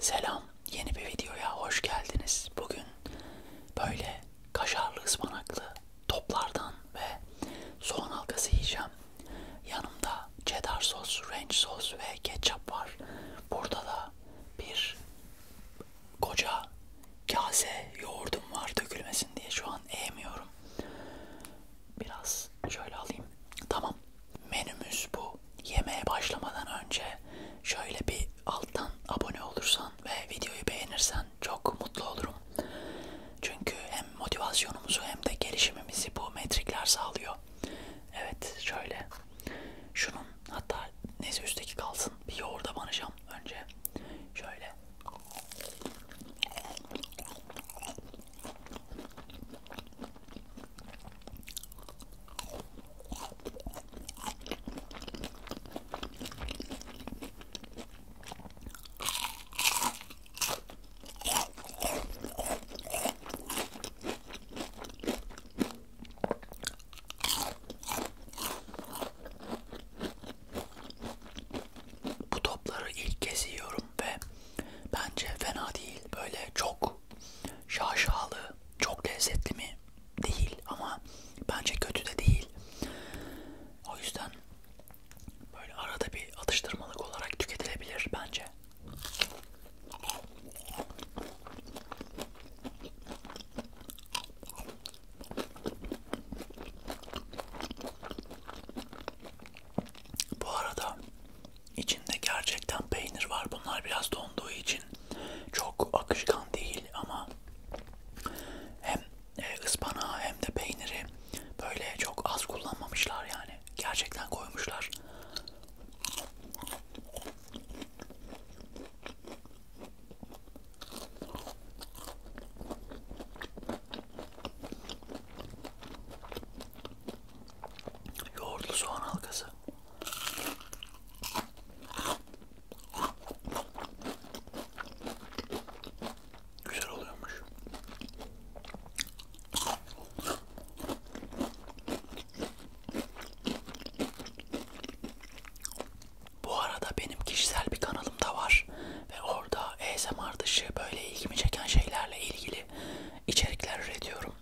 Selam, yeni bir videoya hoş geldiniz. Bugün böyle kaşarlı ıspanaklı toplardan ve soğan halkası yiyeceğim. Yanımda cheddar sos, ranch sos ve ketçap var. Burada da bir koca kase yoğurdum var dökülmesin diye şu an eğmiyorum. Biraz şöyle alayım. Tamam. Menümüz bu yemeğe başlamadan önce şöyle bir alttan abone olursan ve videoyu beğenirsen çok mutlu olurum. Çünkü hem motivasyonumuzu hem de gelişimimizi bu metrikler sağlıyor. Evet şöyle şunun hatta neyse üstteki kalsın bir yoğurda banacağım önce. Şöyle. Bu topları ilk kez yiyorum ve bence fena değil. Böyle çok çok şaşalı, çok lezzetli mi? Değil ama bence kötü de değil. O yüzden böyle arada bir atıştırmalık olarak tüketilebilir bence. Bu arada İçinde gerçekten peynir var. Bunlar biraz donduğu için çok akışkan değil ama hem e, ıspanağı hem de peyniri böyle çok az kullanmamışlar yani. Gerçekten koymuşlar. Yoğurtlu soğan halkası. Güzel oluyormuş. Bu arada benim kişisel bir kanalım da var ve orada ASMR dışı böyle ilgimi çeken şeylerle ilgili ilgili içerikler üretiyorum.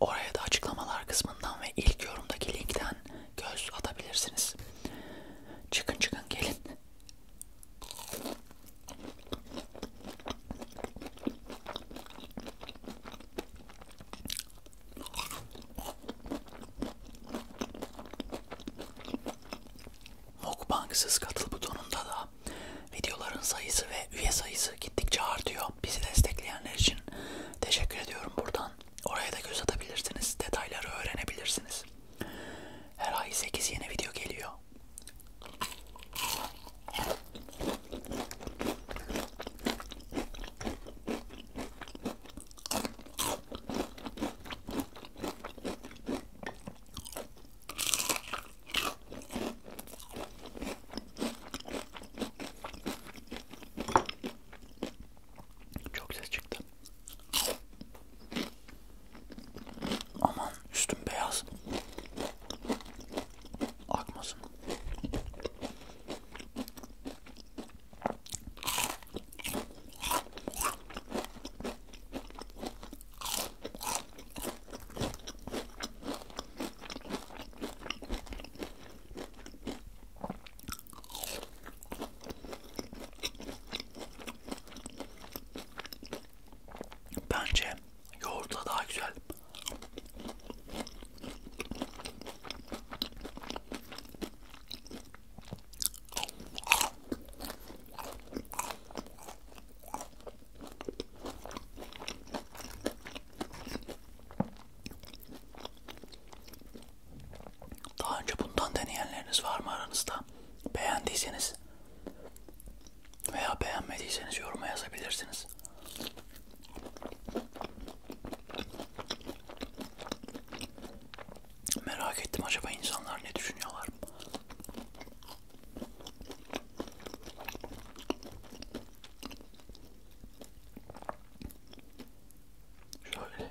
Oraya da açıklamalar kısmından ve ilk yorumdaki linkten göz atabilirsiniz. Çıkın çıkın gelin. Mukbangsız katıl butonunda da videoların sayısı ve üye sayısı gittikçe artıyor. Bizi destekleyenler için teşekkür ediyorum buradan. Oraya da göz atabilirsiniz. Detayları öğrenebilirsiniz. Her ay 8 yeni video geliyor. Çok ses çıktı. Aman üstüm beyaz. Akmasın. Bence yoğurtla daha güzel. Daha önce bundan deneyenleriniz var mı aranızda? Beğendiyseniz veya beğenmediyseniz yoruma yazabilirsiniz. Merak ettim acaba insanlar ne düşünüyorlar? Şöyle.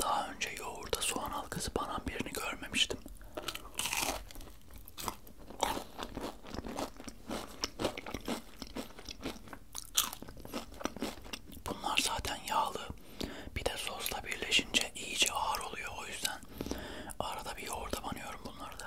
Daha önce yoğurda soğan halkası banan birini görmemiştim. Bunlar zaten yağlı. Bir de sosla birleşince iyice ağır oluyor o yüzden arada bir yoğurda banıyorum bunları da.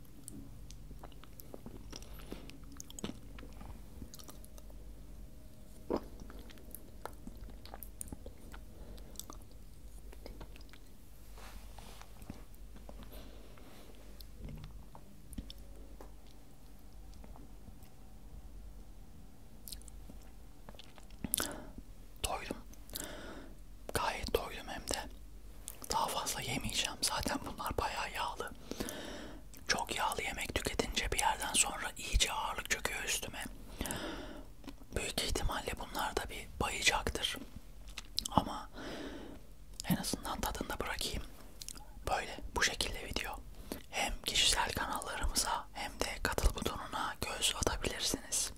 Doydum. Gayet doydum hem de. Daha fazla yemeyeceğim. Zaten bunlar bayağı yağlı. Çok yağlı yemek tüketince bir yerden sonra iyice ağırlık çöküyor üstüme. Büyük ihtimalle bunlar da bir bayacaktır. Ama en azından tadında bırakayım. Böyle bu şekilde video. Hem kişisel kanallarımıza hem de katıl butonuna göz atabilirsiniz.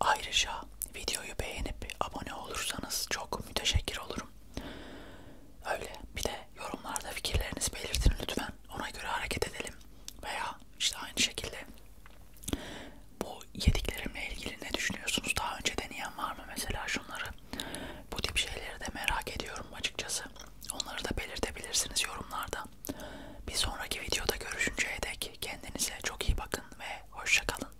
Ayrıca videoyu beğenip abone olursanız çok müteşekkir olurum. Öyle. Bir de yorumlarda fikirlerinizi belirtin lütfen. Ona göre hareket edelim. Veya işte aynı şekilde bu yediklerimle ilgili ne düşünüyorsunuz? Daha önce deneyen var mı mesela şunları? Bu tip şeyleri de merak ediyorum açıkçası. Onları da belirtebilirsiniz yorumlarda. Bir sonraki videoda görüşünceye dek kendinize çok iyi bakın ve hoşça kalın.